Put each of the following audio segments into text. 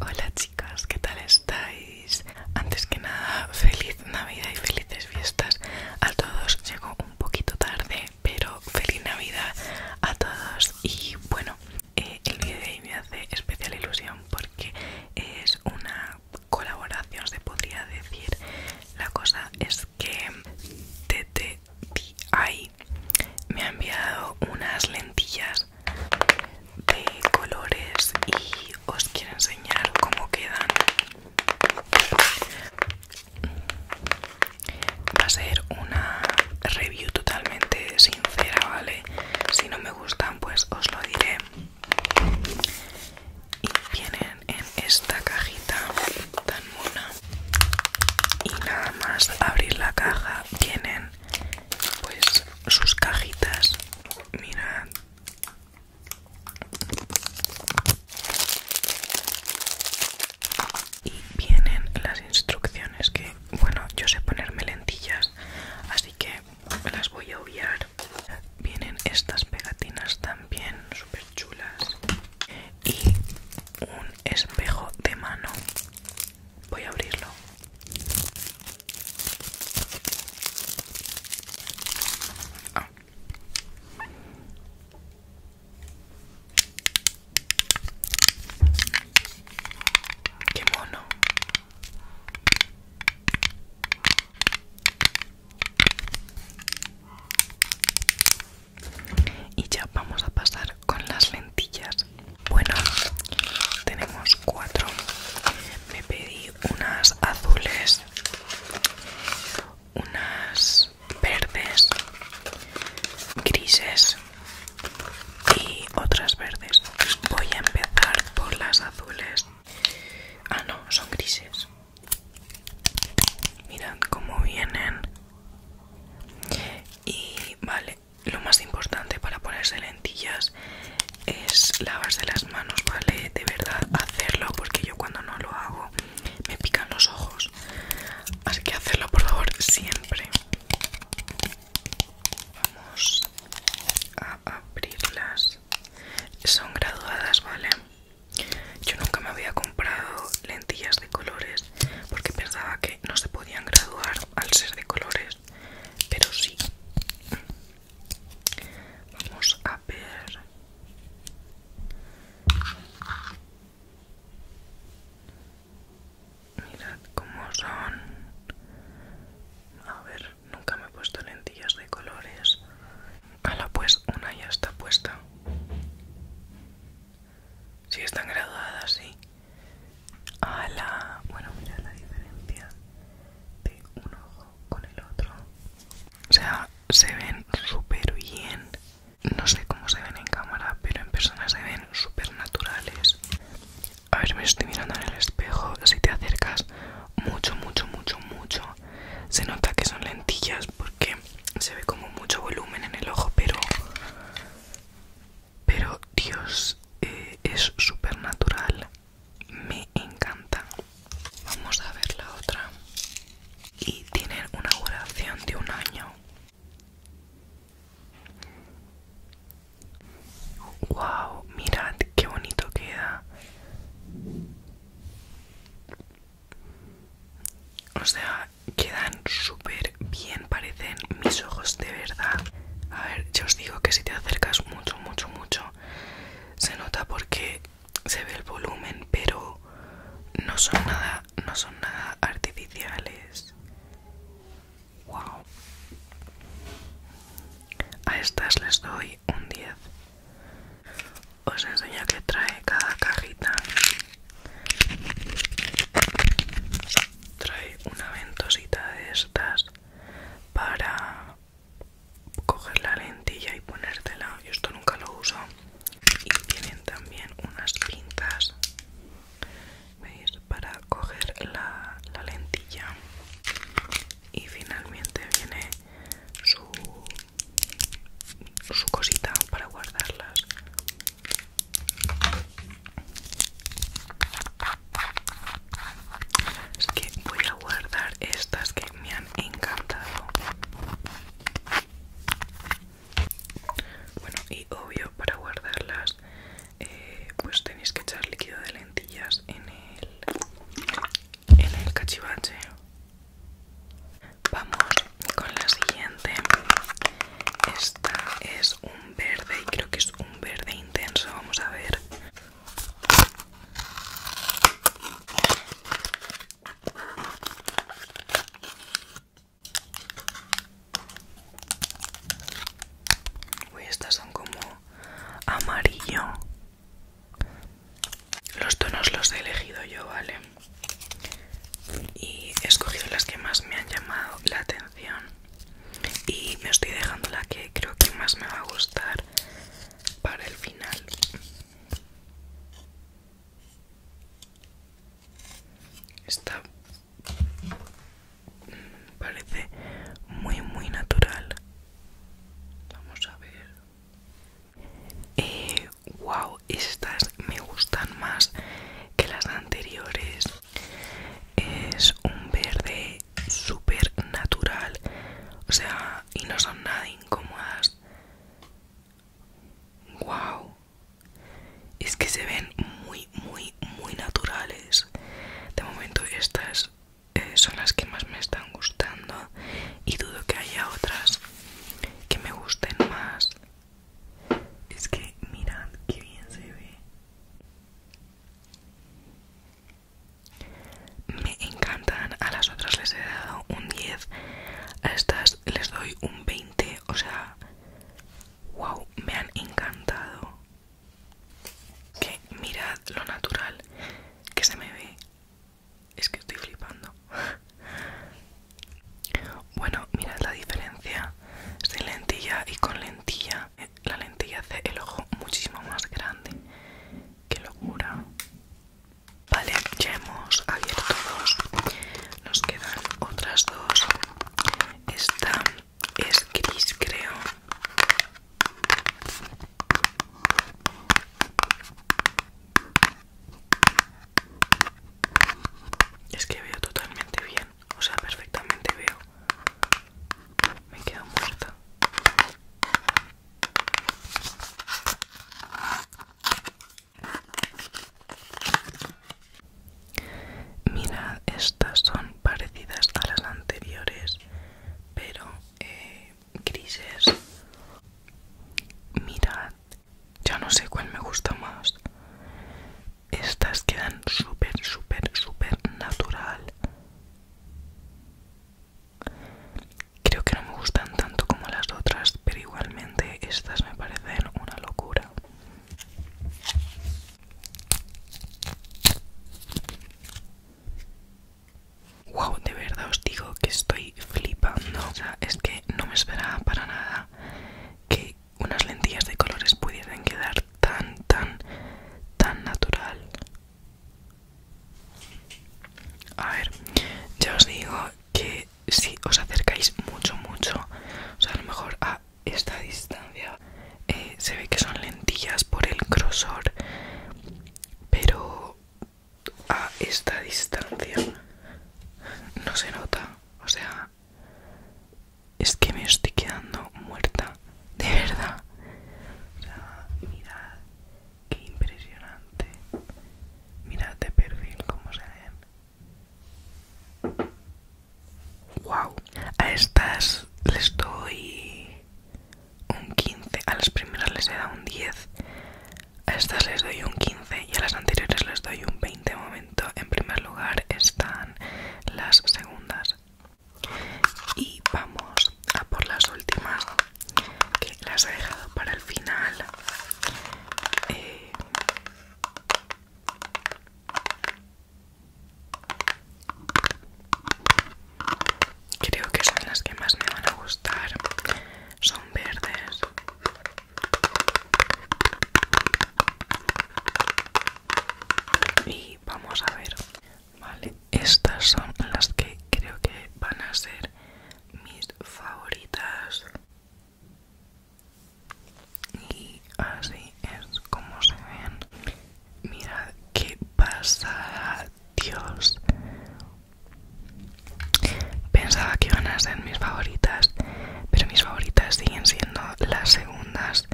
Hola chicas, ¿qué tal estáis? Antes que nada, feliz Navidad y felices fiestas a todos. Llego un poquito tarde, pero feliz Navidad a todos. Y bueno, eh, el vídeo de hoy me hace especial ilusión porque es una colaboración, se podría decir. La cosa es que TTTI me ha enviado unas lentillas de colores y os quiero enseñar cómo quedan. Va a ser una review totalmente sincera, ¿vale? Si no me gustan, pues os lo diré. Y vienen en esta cajita tan buena y nada más abrir la caja vienen pues sus cajitas mirad y vienen las instrucciones que bueno yo sé ponerme lentillas así que las voy a obviar vienen estas pegatinas también súper chulas y un espejo de mano. Voy a abrirlo. Ah. Qué mono y ya vamos a pasar con las lentillas bueno tenemos cuatro me pedí unas azules unas verdes grises y otras verdes voy a empezar por las azules ah no son grises Mirad cómo vienen. Y vale, lo más importante para ponerse lentillas es lavarse las manos, ¿vale? De verdad, hacerlo porque yo cuando no lo hago me pican los ojos. Así que hacerlo por favor siempre. Vamos a abrirlas. Son graduadas, ¿vale? Yo nunca me había comprado lentillas de colores porque pensaba que no se podían graduar al ser de colores, pero sí. Vamos a ver. Mirad cómo son. A ver nunca me he puesto lentillas de colores. la pues una ya está puesta. Si están graduadas, sí. la bueno, mira la diferencia de un ojo con el otro. O sea, se ven súper bien. No sé cómo se ven en cámara, pero en persona se ven súper naturales. A ver, me estoy mirando en el espejo. Si te acercas mucho, mucho, mucho, mucho se nota que son lentillas porque se ve como mucho volumen en el ojo pero pero dios eh, es súper natural me encanta vamos a ver la otra y tienen una duración de un año wow mirad qué bonito queda o sea, quedan súper bien, parecen mis ojos de verdad. A ver, yo os digo que si te acercas mucho, mucho, mucho, se nota porque se ve el volumen, pero no son nada, no son nada artificiales. Wow. A estas les doy un 10 os enseño que trae cada cajita trae una ventosita de estas para coger la lentilla y ponértela yo esto nunca lo uso y tienen también unas pinzas para coger la lentilla y finalmente viene su, su cosita para guardarlas es que voy a guardar estas que me han encantado bueno y obvio para guardarlas eh, pues tenéis que echar líquido de lentillas en el, en el cachivache. Vamos con la siguiente. Esta es un verde y creo que es un verde intenso. Vamos a ver. Uy, estas son como amarillo. Los tonos los he elegido yo, ¿vale? Y he escogido las que más me han llamado la atención. Y me estoy dejando la que creo que más me va a gustar para el final. Está Parece muy, muy natural. Vamos a ver. wow, eh, estas me gustan más que las anteriores. Es un verde súper natural. O sea, y no son nada incómodas. Wow, es que se ven muy muy muy naturales de momento estas eh, son las que más me están gustando y dudo que haya otras que me gusten más es que mirad que bien se ve me encantan a las otras les he dado un 10 a estas les doy un 20 o sea wow me han encantado que mirad lo natural que se me ve es que estoy flipando bueno mirad la diferencia sin lentilla y con lentilla la lentilla hace el ojo muchísimo más grande qué locura vale ya hemos abierto dos nos quedan otras dos esta es gris, creo. Es que veo totalmente bien, o sea, perfectamente veo. Me quedo muerta. Mirad, estas son parecidas a las anteriores, pero eh, grises. Mirad, ya no sé cuál me gusta más. Estas quedan súper, súper, súper natural. Creo que no me gustan tanto como las otras, pero igualmente estas me parecen una locura. Wow, de verdad os digo que estoy flipando. O sea, es que no me esperaba para nada que unas lentillas de colores pudieran quedar tan, tan, tan natural. A ver, ya os digo que si os acercáis mucho, mucho, o sea, a lo mejor a esta distancia eh, se ve que son lentillas por el grosor, pero a esta distancia no se nota, o sea, es que me estoy quedando muerta, de verdad. O sea, mirad que impresionante Mirad de perfil cómo se ven. Wow. A estas les doy un 15. A las primeras les he dado un 10. A estas les doy un 15 y a las anteriores les doy un 20 momento. En primer lugar están las segundas. Y vamos a por las últimas que las he dejado para el final eh, creo que son las que más me van a gustar son verdes y vamos a ver vale estas son las que creo que van a ser mis favoritas y así es como se ven mirad qué pasada dios pensaba que iban a ser mis favoritas pero mis favoritas siguen siendo las segundas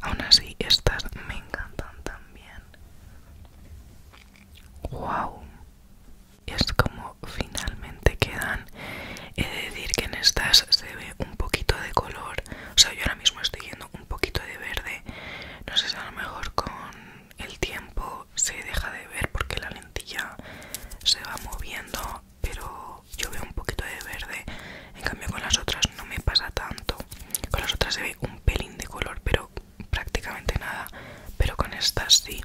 aún así estas me encantan también wow es como finalmente quedan. He de decir que en estas se ve un poquito de color. O sea, yo ahora mismo estoy viendo un poquito de verde. No sé si a lo mejor con el tiempo se deja de ver porque la lentilla se va moviendo. Pero yo veo un poquito de verde. En cambio con las otras no me pasa tanto. Con las otras se ve un pelín de color, pero prácticamente nada, pero con estas sí.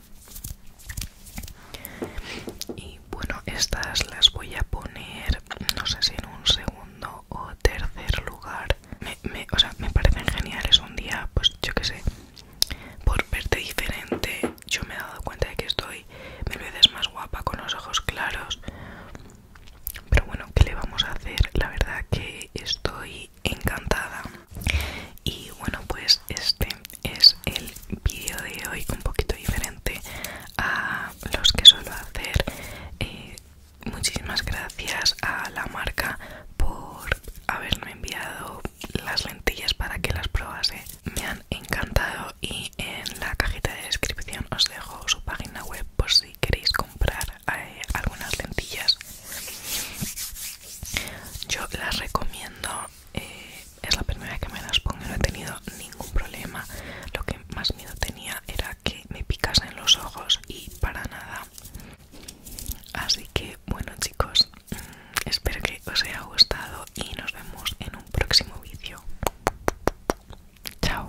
Y bueno, estas las voy a poner, no sé si en un segundo o tercer lugar. Me, o sea, me parecen geniales un día, pues yo qué sé, por verte diferente. Yo me he dado cuenta de que estoy me veces más guapa con los ojos claros. Pero bueno, ¿qué le vamos a hacer? La verdad que estoy encantada y bueno pues este es el vídeo de hoy un poquito diferente a los que suelo hacer eh, muchísimas gracias a la marca por haberme enviado las lentillas para que las probase me han encantado y en la cajita de descripción os dejo su página web por si queréis comprar eh, algunas lentillas yo las recomiendo eh, es la primera vez que me las pongo y no he tenido ningún problema lo que más miedo tenía era que me picasen los ojos y para nada así que bueno chicos mm, espero que os haya gustado y nos vemos en un próximo vídeo chao